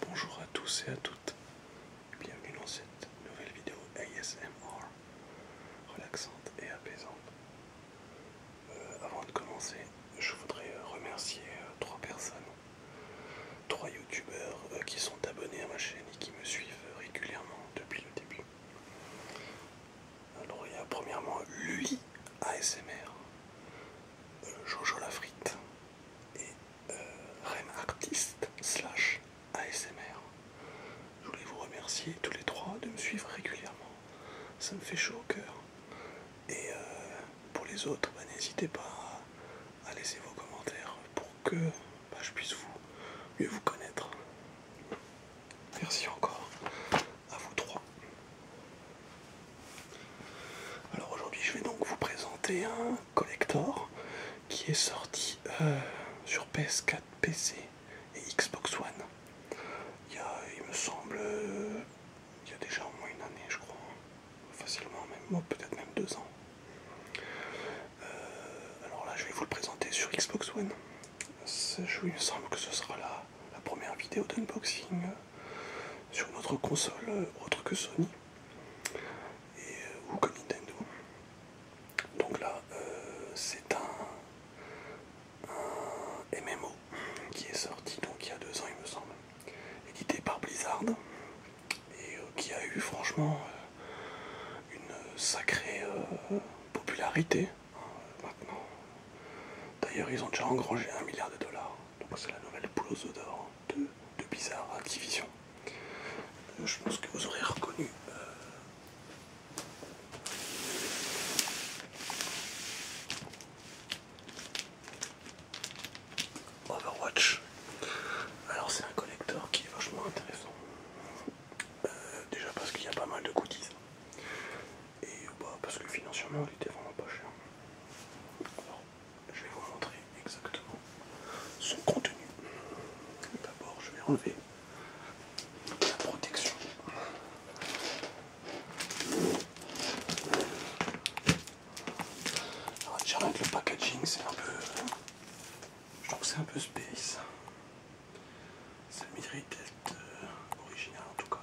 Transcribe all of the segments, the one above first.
Bonjour à tous et à toutes, bienvenue dans cette nouvelle vidéo ASMR relaxante et apaisante. Euh, avant de commencer, je voudrais euh, remercier euh, trois personnes, trois youtubeurs qui sont abonnés à ma chaîne et qui me suivent régulièrement depuis le début. Alors il y a premièrement lui ASMR, Jojo la et euh, slash ASMR. Je voulais vous remercier tous les trois de me suivre régulièrement. Ça me fait chaud au cœur. Et euh, pour les autres, bah, n'hésitez pas à laisser vos commentaires pour que bah, je puisse vous mieux vous connaître. Merci encore à vous trois. Alors aujourd'hui je vais donc vous présenter un collector qui est sorti euh, sur PS4, PC et Xbox One. Il me semble, euh, il y a déjà au moins une année je crois, facilement même, peut-être même deux ans. Euh, alors là je vais vous le présenter sur Xbox One. il me semble que ce sera la première vidéo d'unboxing sur notre console euh, autre que Sony euh, ou comme Nintendo. Donc là, euh, c'est un, MMO qui est sorti donc il y a deux ans il me semble, édité par Blizzard et qui a eu franchement une sacrée popularité hein, maintenant. D'ailleurs ils ont déjà engrangé un milliard de dollars, donc c'est la nouvelle blouse d'or de, Bizarre Activision. je pense que vous aurez reconnu. Euh, Overwatch. Alors c'est un collecteur qui est vachement intéressant. Euh, déjà parce qu'il y a pas mal de goodies. Et bah, parce que financièrement il était vraiment pas cher je vais vous montrer exactement son contenu. D'abord, je vais enlever la protection. Alors, déjà le packaging, c'est un peu. Je trouve que c'est un peu space. Ça mérite d'être original en tout cas.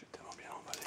J'ai tellement bien emballé.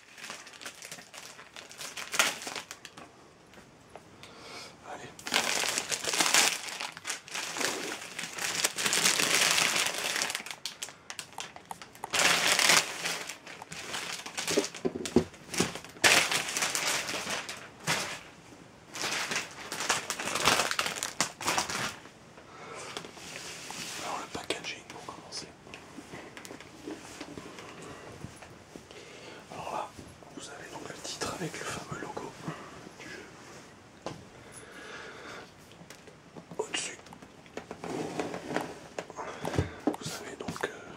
Allez. Alors le packaging pour commencer. Alors là, vous avez donc le titre avec le fameux logo du jeu. Au-dessus, vous avez donc euh,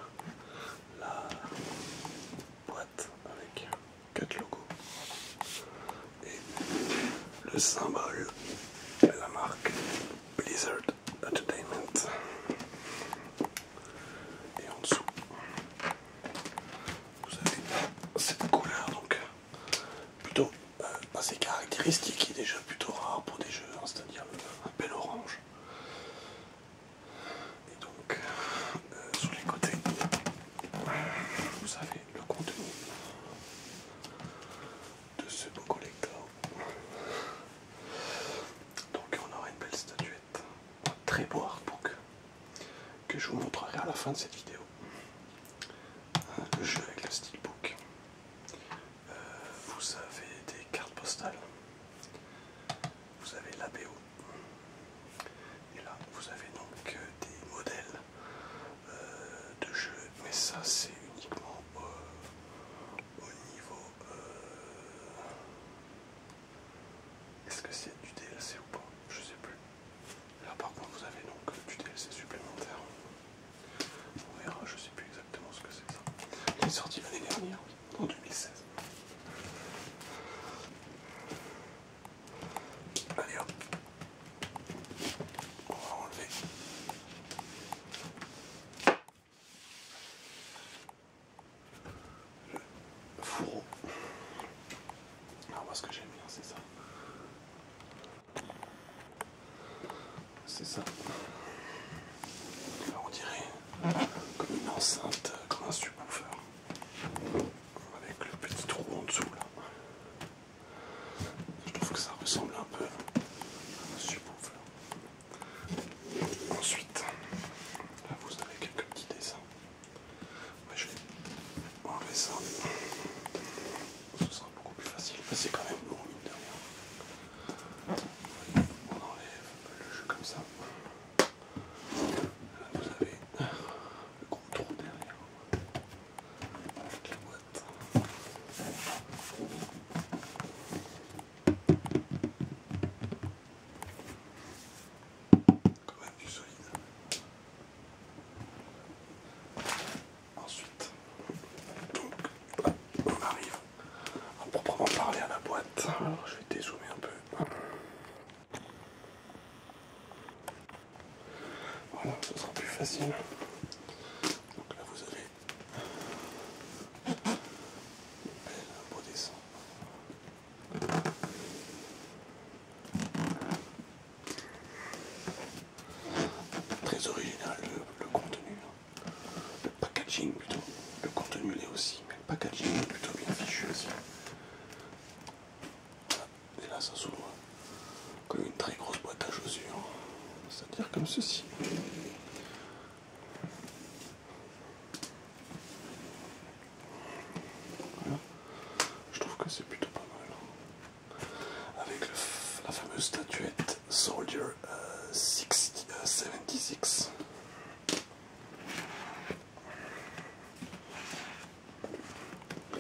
la boîte avec quatre logos et le symbole de la marque Blizzard. Entertainment. Et en dessous, vous avez cette couleur donc euh, plutôt euh, assez caractéristique et déjà plutôt rare pour des jeux, hein, c'est-à-dire un bel orange. Et donc euh, sous les côtés, vous avez le contenu de ce beau collector. Donc on aura une belle statuette, un très beau artbook que je vous montrerai à la fin de cette vidéo. Hein, le jeu avec le stickbook euh, vous avez des cartes postales. Vous avez la BO. Et là, vous avez donc euh, des modèles euh, de jeu. Mais ça, c'est uniquement au niveau est-ce que c'est du DLC ou pas Je sais plus. Là par contre vous avez donc euh, du DLC supplémentaire. On verra, je sais plus exactement ce que c'est ça. Il est sorti l'année dernière, en 2016. Allez hop. On va enlever. Le fourreau. Alors ah, moi ce que j'aime bien c'est ça. C'est ça. on dirait comme une enceinte, comme un subwoofer. Avec le petit trou en dessous là. Je trouve que ça ressemble un peu à un subwoofer. Ensuite, vous avez quelques petits dessins. Moi je vais enlever ça. Ce sera beaucoup plus facile. Mais c'est quand même long. mine de On enlève le jeu comme ça. Là, vous avez le gros trou derrière avec la boîte du solide. Ensuite, on arrive à proprement parler à la boîte. je vais dézoomer un peu. Voilà, ce sera plus facile. Donc là vous avez Très original le, contenu, hein. le packaging plutôt. Le contenu l'est aussi, mais le packaging est plutôt bien fichu aussi. Et là ça s'ouvre hein. comme une très grosse boîte à chaussures, c'est-à-dire comme ceci. Je trouve que c'est plutôt pas mal. Avec la fameuse statuette Soldier 76. Euh, euh,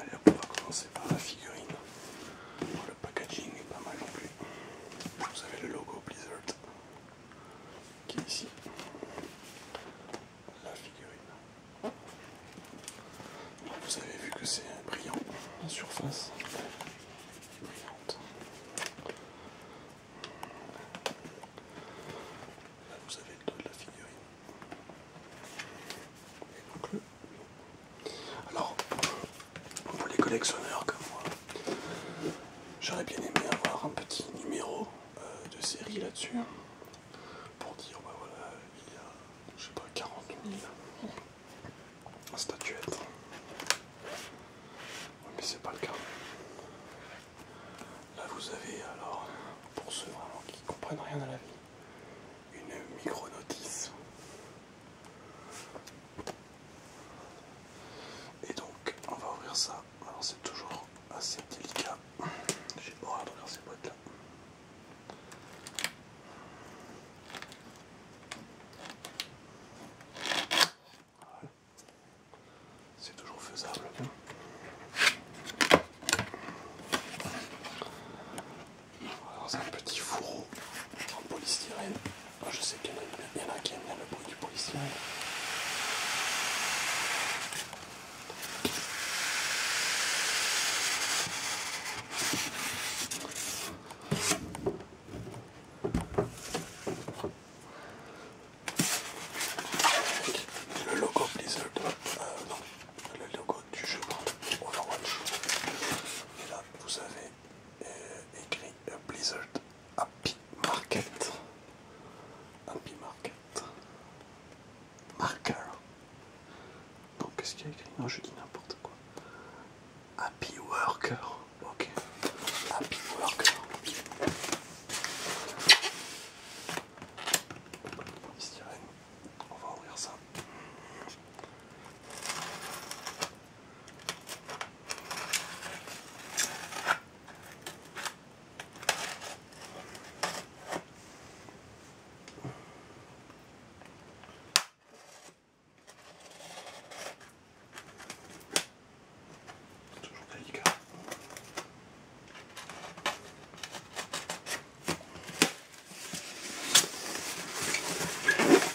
Allez, on va commencer par la figurine le packaging est pas mal non plus. Vous avez le logo Blizzard qui est ici. La figurine. Vous avez vu que c'est brillant la surface. Brillante. Là vous avez le dos de la figurine. Et donc le... Alors pour les collectionneurs comme moi, j'aurais bien aimé avoir un petit numéro euh, de série là-dessus hein, pour dire bah voilà, il y a je sais pas 40 000 statuettes. mais c'est pas le cas. Là vous avez alors, pour ceux vraiment qui comprennent rien à la vie, une micro-notice et donc, on va ouvrir ça. Alors, c'est toujours assez délicat. J'ai horreur de ouvrir ces boîtes là. C'est toujours faisable. Dans un petit fourreau en polystyrène. Je sais qu'il y, en a qui aiment bien le bruit du policier. Le logo Blizzard, euh, non, le logo du jeu Overwatch. Et là, vous avez écrit A Blizzard Happy Market. Happy Market. Marker. Donc qu'est-ce qu'il y a écrit Non, je dis n'importe quoi. Happy Worker. Ok. Happy Worker. On va ouvrir ça. C'est toujours délicat.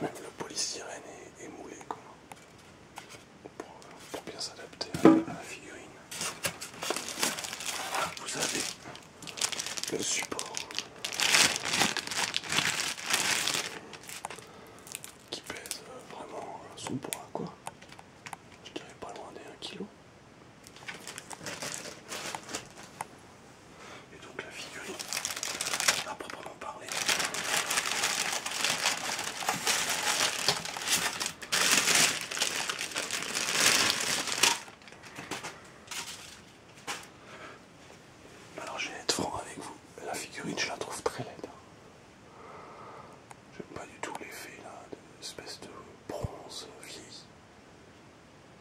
même le polystyrène est, est moulé Pour, bien s'adapter à, la figurine. vous avez le support qui pèse euh, vraiment euh, son poids quoi. Je dirais pas loin des 1 kg et donc la figurine à proprement parler. Alors je vais être franc avec vous, la figurine je la trouve très laide. Hein. J'aime pas du tout l'effet là, espèce de bronze vieilli.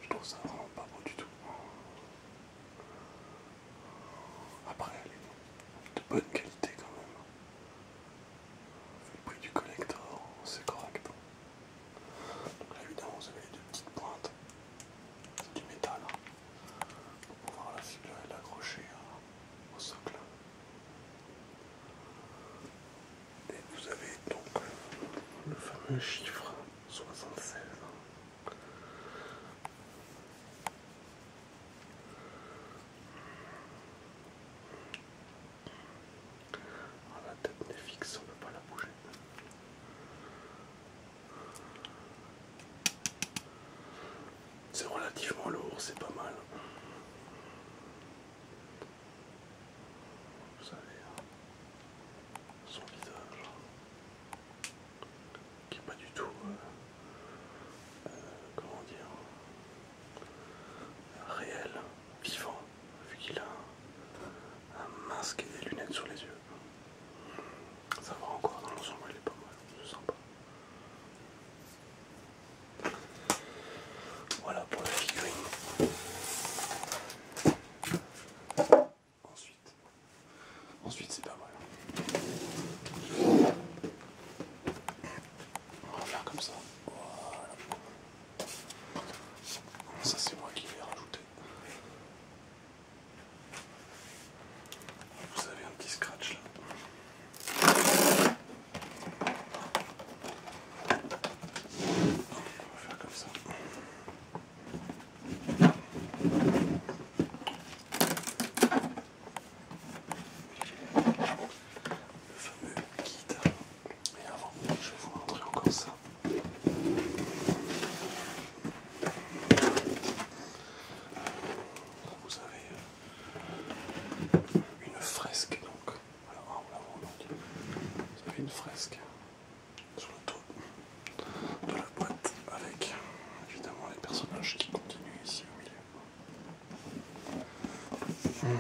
Je trouve ça vraiment pas beau du tout. Après, elle est de bonne qualité quand même. Le prix du collector, c'est correct. Donc là, évidemment, vous avez les deux petites pointes. du métal. Hein, pour pouvoir la figure l'accrocher hein, au socle. Et vous avez donc le fameux chiffre 76. Ah, la tête n'est fixe, on ne peut pas la bouger. C'est relativement lourd, c'est pas mal. Vous savez, hein, son visage qui n'est pas du tout, euh, euh, comment dire, réel, vivant, vu qu'il a un, masque et des lunettes sur les yeux. Ça va encore, dans l'ensemble il est pas mal, c'est sympa. Voilà pour la figurine. Ensuite, ensuite c'est pas vrai. On va faire comme ça. Voilà. Ça c'est moi qui l'ai rajouté. Vous avez un petit scratch là. On va faire comme ça fameux guide. Mais avant, je vais vous montrer encore ça. Vous avez euh, une fresque donc. Alors, vous avez une fresque sur le toit de la boîte avec évidemment les personnages qui continuent ici hmm.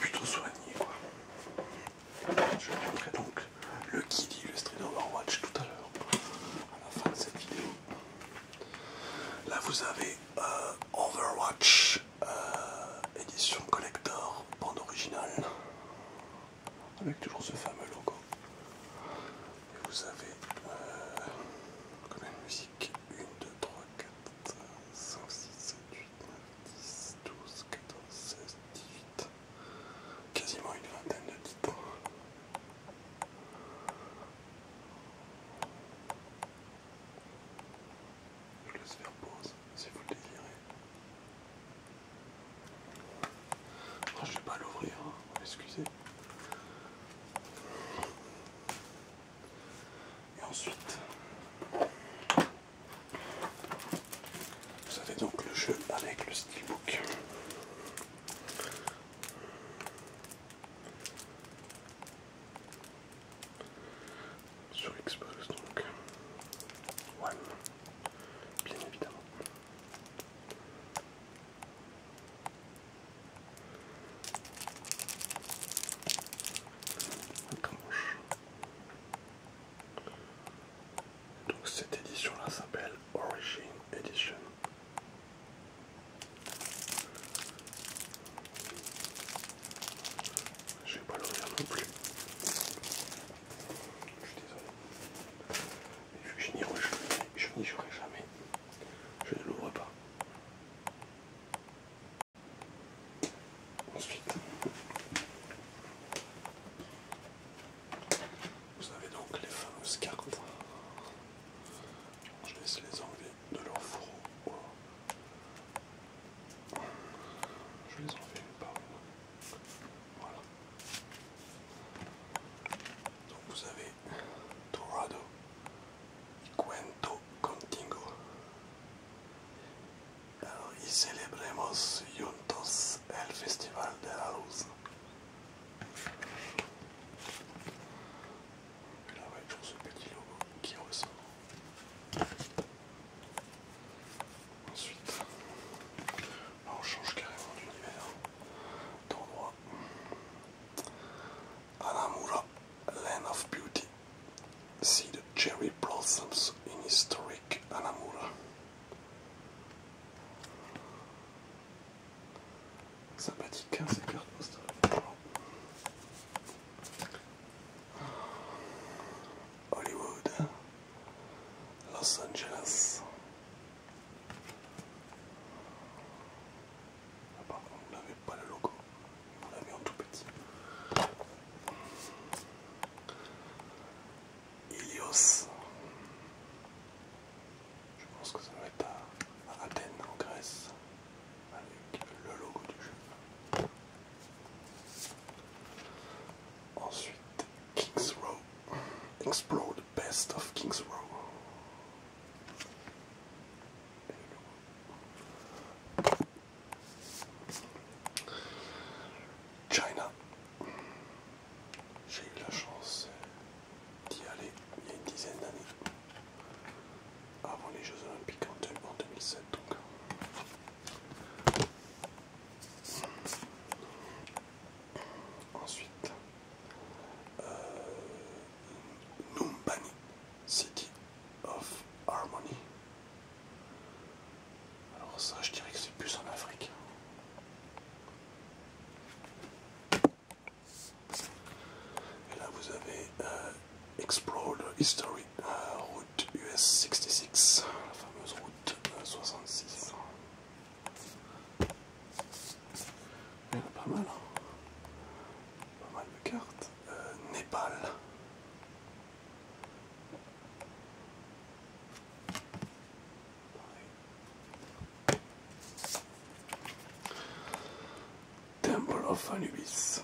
Plutôt soigné quoi. Je vous montrerai donc le guide illustré d'Overwatch tout à l'heure à la fin de cette vidéo. Là vous avez euh, Overwatch euh, édition collector bande originale avec toujours ce fameux logo. Et vous avez combien euh, de musique 1, 2, 3, 4, 5, 6, 7, 8, 9, 10, 12, 14, 16, 18. Quasiment une vingtaine de titres. Je laisse faire pause si vous le désirez. Oh, je ne vais pas l'ouvrir, hein. excusez. Et ensuite, vous avez donc le jeu avec le steelbook. Sur Xbox donc. bien évidemment. Donc cette édition là s'appelle Origin Edition. Je vais pas l'ouvrir non plus. Je suis désolé. Je, je n'y jouerai jamais. Je ne l'ouvre pas. Ensuite, vous avez donc les fameuses cartes. Je laisse les enlever de leur fourreau. Je les enleverai par une. Voilà. Donc vous avez Dorado y Cuento Contigo. Alors, y celebremos juntos el Festival de la Luz. là, on va ce petit logo qui ressemble. Ensuite, là, on change carrément d'univers. Don't Anamura, land of beauty. See the cherry blossoms in historic Anamura. Sympathique, hein, ces cartes Hollywood, Los Angeles, Ah bah, on n'avait pas le logo, on l'avait en tout petit. Ilios. Je pense que ça va être à Athènes, en Grèce, avec le logo du jeu. Ensuite, Kings Row Explode best of Kings Row. China. J'ai eu la chance euh, d'y aller il y a une dizaine d'années, avant les Jeux Olympiques en 2007 donc. Ensuite, euh, Numbani, City of Harmony. Alors ça, je dirais que c'est plus en Afrique. Et là, vous avez Explorer euh, Explore History, euh, route US 66, la fameuse route 66. Il ah, a pas mal. Hein. Pas mal de cartes. Euh, Népal. Temple of Anubis.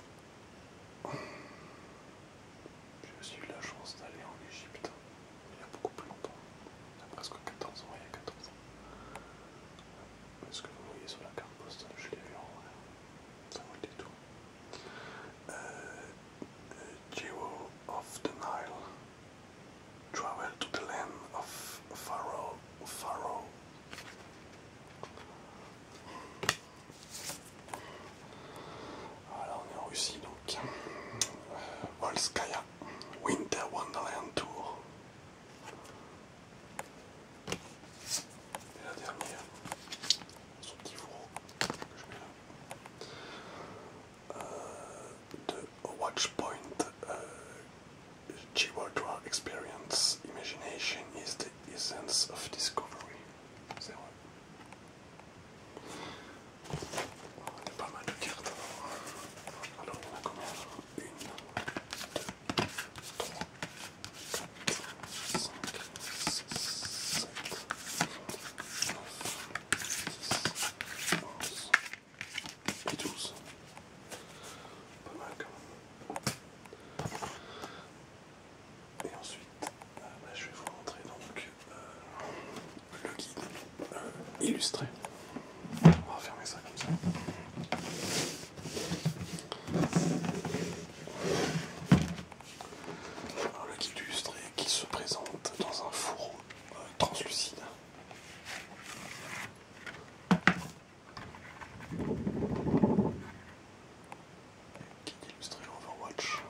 J'ai eu la chance d'aller en Égypte il y a beaucoup plus longtemps, il y a presque 14 ans, il y a 14 ans. Mais ce que vous voyez sur la carte postale, je l'ai vu en vrai, ça m'a été tout. of the Nile, Travel to the Land of Pharaoh. Pharaoh. Voilà, on est en Russie donc. Euh, Volskaya Winter Wonderland Tour. Et la dernière, son petit fourreau Watchpoint euh, euh Experience Imagination is the Essence of Discovery. On a pas mal de cartes. Alors on a combien Une, deux, trois, et 12. Pas mal quand même. Et ensuite, euh, bah, je vais vous montrer donc euh, le guide euh, illustré. On va fermer ça comme ça. le guide illustré qui se présente dans un fourreau translucide. Euh, translucide. Guide illustré Overwatch.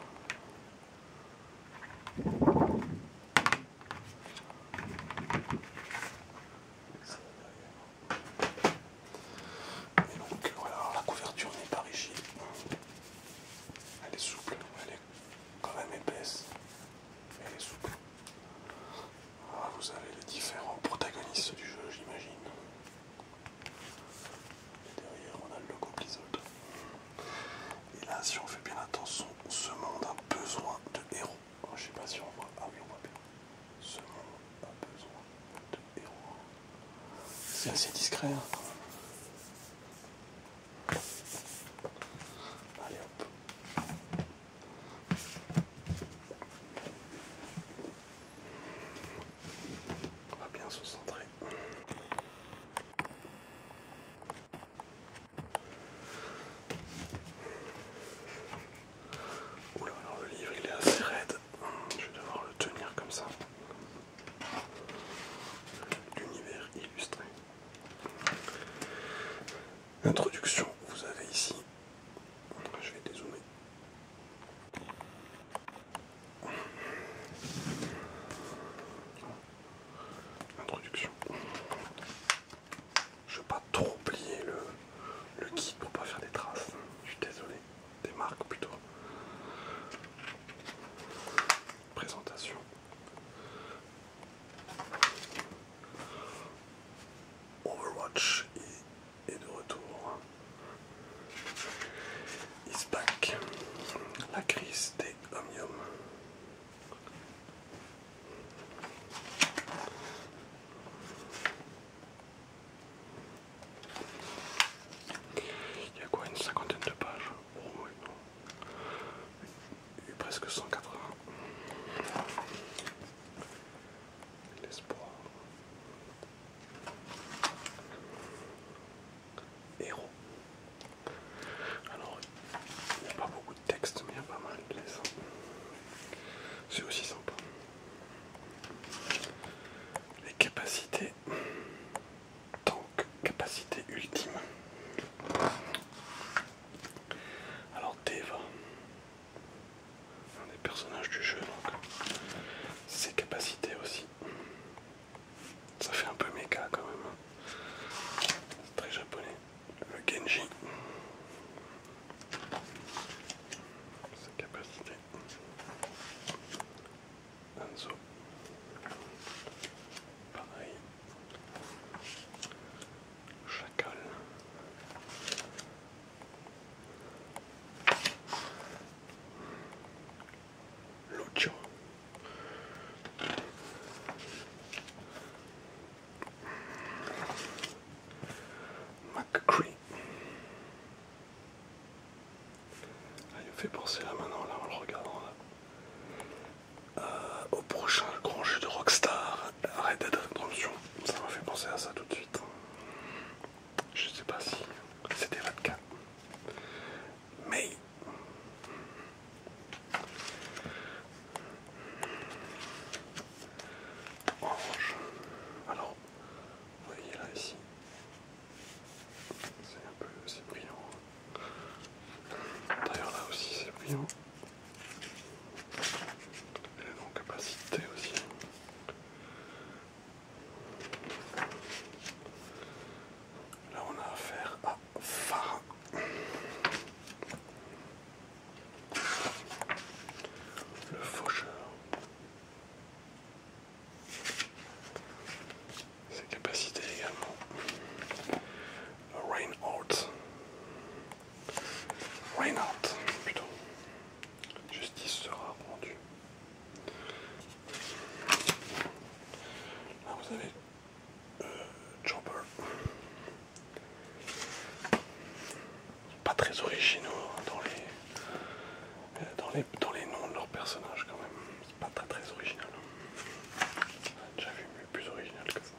Et donc voilà, la couverture n'est pas rigide. Elle est souple, elle est quand même épaisse. Ah, vous avez les différents protagonistes du jeu, j'imagine. derrière, on a le logo Blizzard. Et là, si on fait bien attention, ce monde a besoin de héros. Oh, je ne sais pas si on voit. Ah oui, on voit bien. Ce monde a besoin de héros. C'est assez discret. Hein. Allez hop. On va bien se centrer. Oula, alors le livre il est assez raide, je vais devoir le tenir comme ça. L'univers illustré. Introduction, vous avez ici. Je vais dézoomer. Introduction. Je vais pas trop plier le, kit pour pour pas faire des traces. Je suis désolé. Des marques plutôt. Présentation. Overwatch est, de retour. Is back. La crise des Omnium. Il y a quoi une cinquantaine de pages oh, oui, non. Et presque 180. L'espoir. Héros. Alors, il n'y a pas beaucoup de texte, mais il y a pas mal de C'est aussi sympa. Les capacités. donc capacité ultime. Alors, Deva, un des personnages du jeu, donc ses capacités aussi. Ça fait un peu méca quand même. Hein. C'est très japonais. Le Genji. Sa capacité. Anzo. Pareil. Chacal. Lucho. McCree. Ah, il me fait penser là maintenant, là, en le regardant. Euh, au prochain grand jeu de Rockstar, Red Dead Redemption. Ça m'a fait penser à ça tout de suite. Je sais pas si c'était 24. Mais alors, vous voyez là ici, c'est un peu, c'est brillant. D'ailleurs là aussi c'est brillant. Et non capacité aussi. Là, on a affaire à Farah. Le faucheur. Ses capacités également. Reinhardt. Reinhardt, plutôt. Justice sera rendue. Là, vous avez euh, Pas très originaux hein, euh, dans les, dans les, noms de leurs personnages quand même. pas très très original. j'avais vu plus original que ça.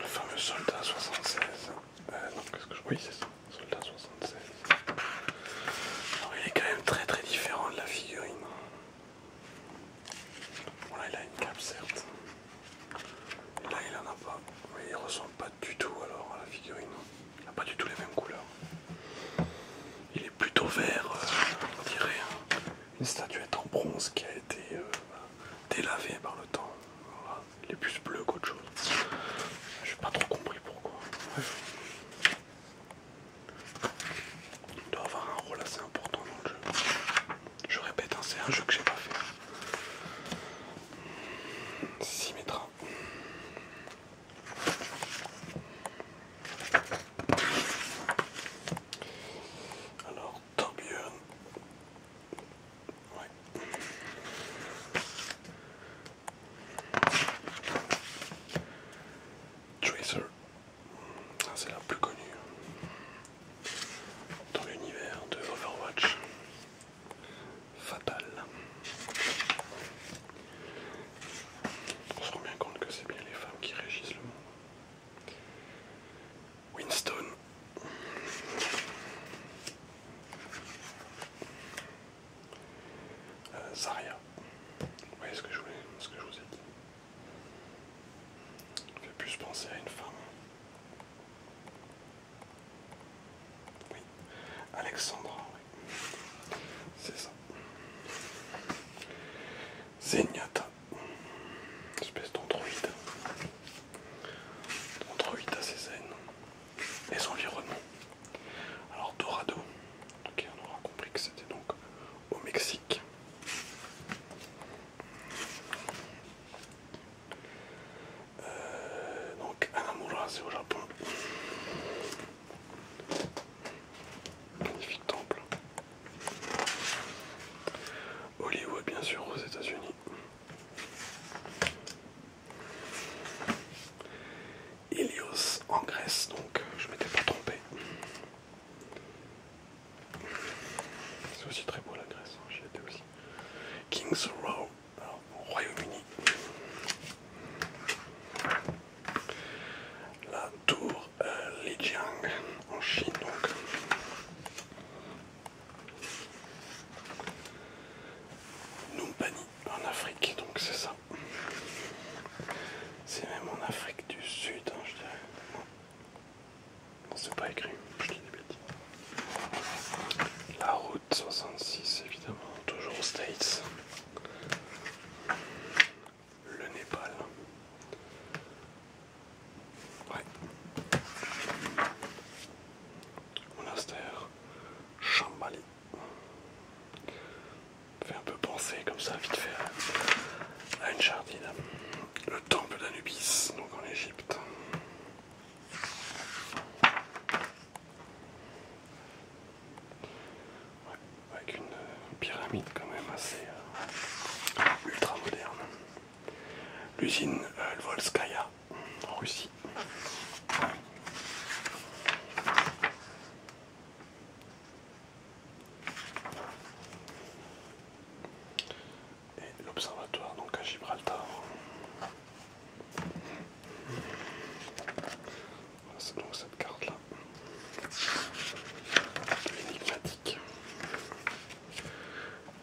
Le fameux soldat 76. Euh, ce que je. Oui, c'est ça, soldat 76. il est quand même très très différent de la figurine. Bon, là, il a une cape, certes. Là, il en a pas. il ressemble pas du tout alors à la figurine. Il n'a pas du tout les mêmes couleurs. Il est plutôt vert, euh, on dirait hein. une statuette en bronze qui a été euh, délavée par le temps les plus bleu qu'autre chose. J'ai pas trop compris pourquoi. Il doit avoir un rôle assez important dans le jeu. Je répète, hein, c'est un jeu que j'ai pas fait. Symmetra. Alors, tant Ouais. Tracer, c'est la plus connue dans l'univers de Overwatch. Fatal. On se rend bien compte que c'est bien les femmes qui régissent le monde. Winston ça euh, Zarya. Vous voyez ce que je vous ai dit. Ça fait plus penser à une femme. Oui, Alexandra, oui. C'est ça. Zenyatta, espèce d'androïde. Androïde assez zen les environnements. Alors Dorado, ok, on aura compris que c'était donc au Mexique. Euh, donc Anamura, c'est au Japon. Magnifique temple. Hollywood, bien sûr, aux États-Unis. Ilios en Grèce, donc je m'étais pas trompé. C'est aussi très beau la Grèce, hein, aussi. King's Row, au Royaume-Uni. La tour euh, Lijiang en Chine donc. Numpani en Afrique, donc c'est ça. C'est même en Afrique du Sud, hein, je dirais. c'est pas écrit, je dis des La route 66, évidemment, toujours aux States. Le Népal. Ouais. Monastère Shambhali fait un peu penser comme ça vite fait à une chardine. Le temple d'Anubis, donc en Égypte. avec une pyramide quand même assez euh, ultra moderne. L'usine euh, Lvolskaya en Russie. Et l'observatoire donc à Gibraltar. c'est donc cette carte là. Énigmatique.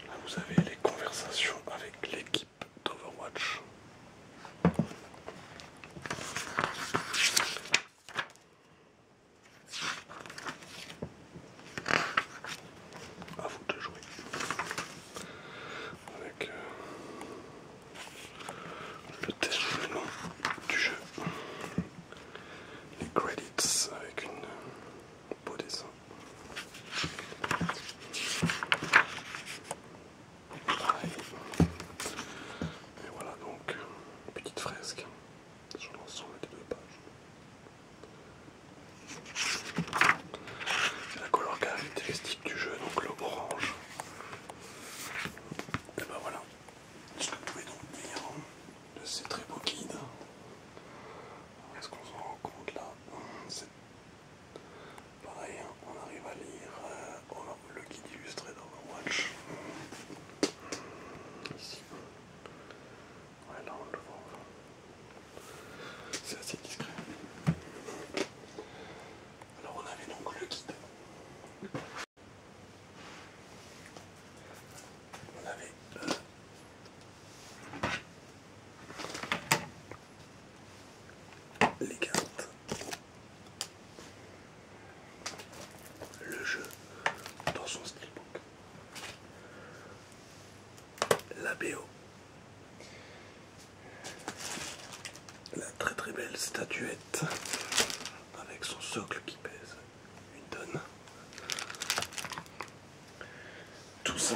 Là vous avez les conversations avec l'équipe Overwatch. vous de jouer avec euh, le test du jeu, les credits avec une euh, beau dessin. Et voilà donc une petite fresque sur l'ensemble des deux pages. C'est la couleur caractéristique du jeu, donc l'orange. Et ben voilà ce que vous pouvez donc bien. de ces très beaux guides. Est-ce qu'on se rend compte là Pareil, hein, on arrive à lire euh, oh le guide illustré d'Overwatch. Ici. Ouais, là on le voit. C'est assez discret. Alors on avait donc le guide. On avait euh, les cartes, le jeu dans son steelbook, la BO, la très très belle statuette avec son socle qui pèse une tonne. Tout ça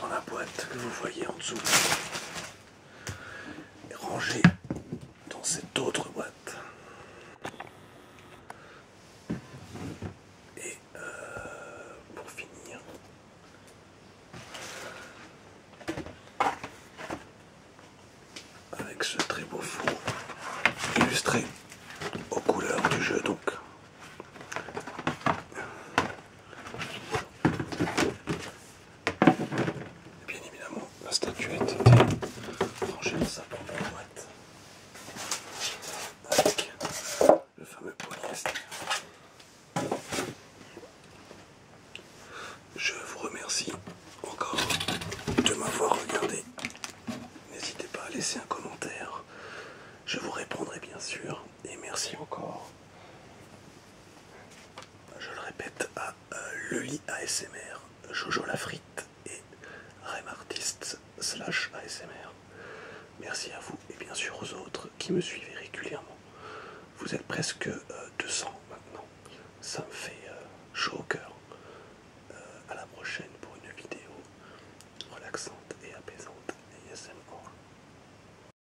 dans la boîte que vous voyez en dessous et dans cette autre boîte. Et euh, pour finir, avec ce très beau four illustré aux couleurs du jeu donc. Et bien évidemment, la statuette était rangée dans sa propre boîte avec le fameux poignet. Je vous remercie encore de m'avoir regardé. N'hésitez pas à laisser un commentaire. Je vous répondrai bien sûr. Et merci encore je le répète, à euh, ASMR, Jojo Lafrite et remartist slash ASMR. Merci à vous et bien sûr aux autres qui me suivez régulièrement. Vous êtes presque 200 euh, maintenant. Ça me fait euh, chaud au cœur. A euh, à la prochaine pour une vidéo relaxante et apaisante ASMR.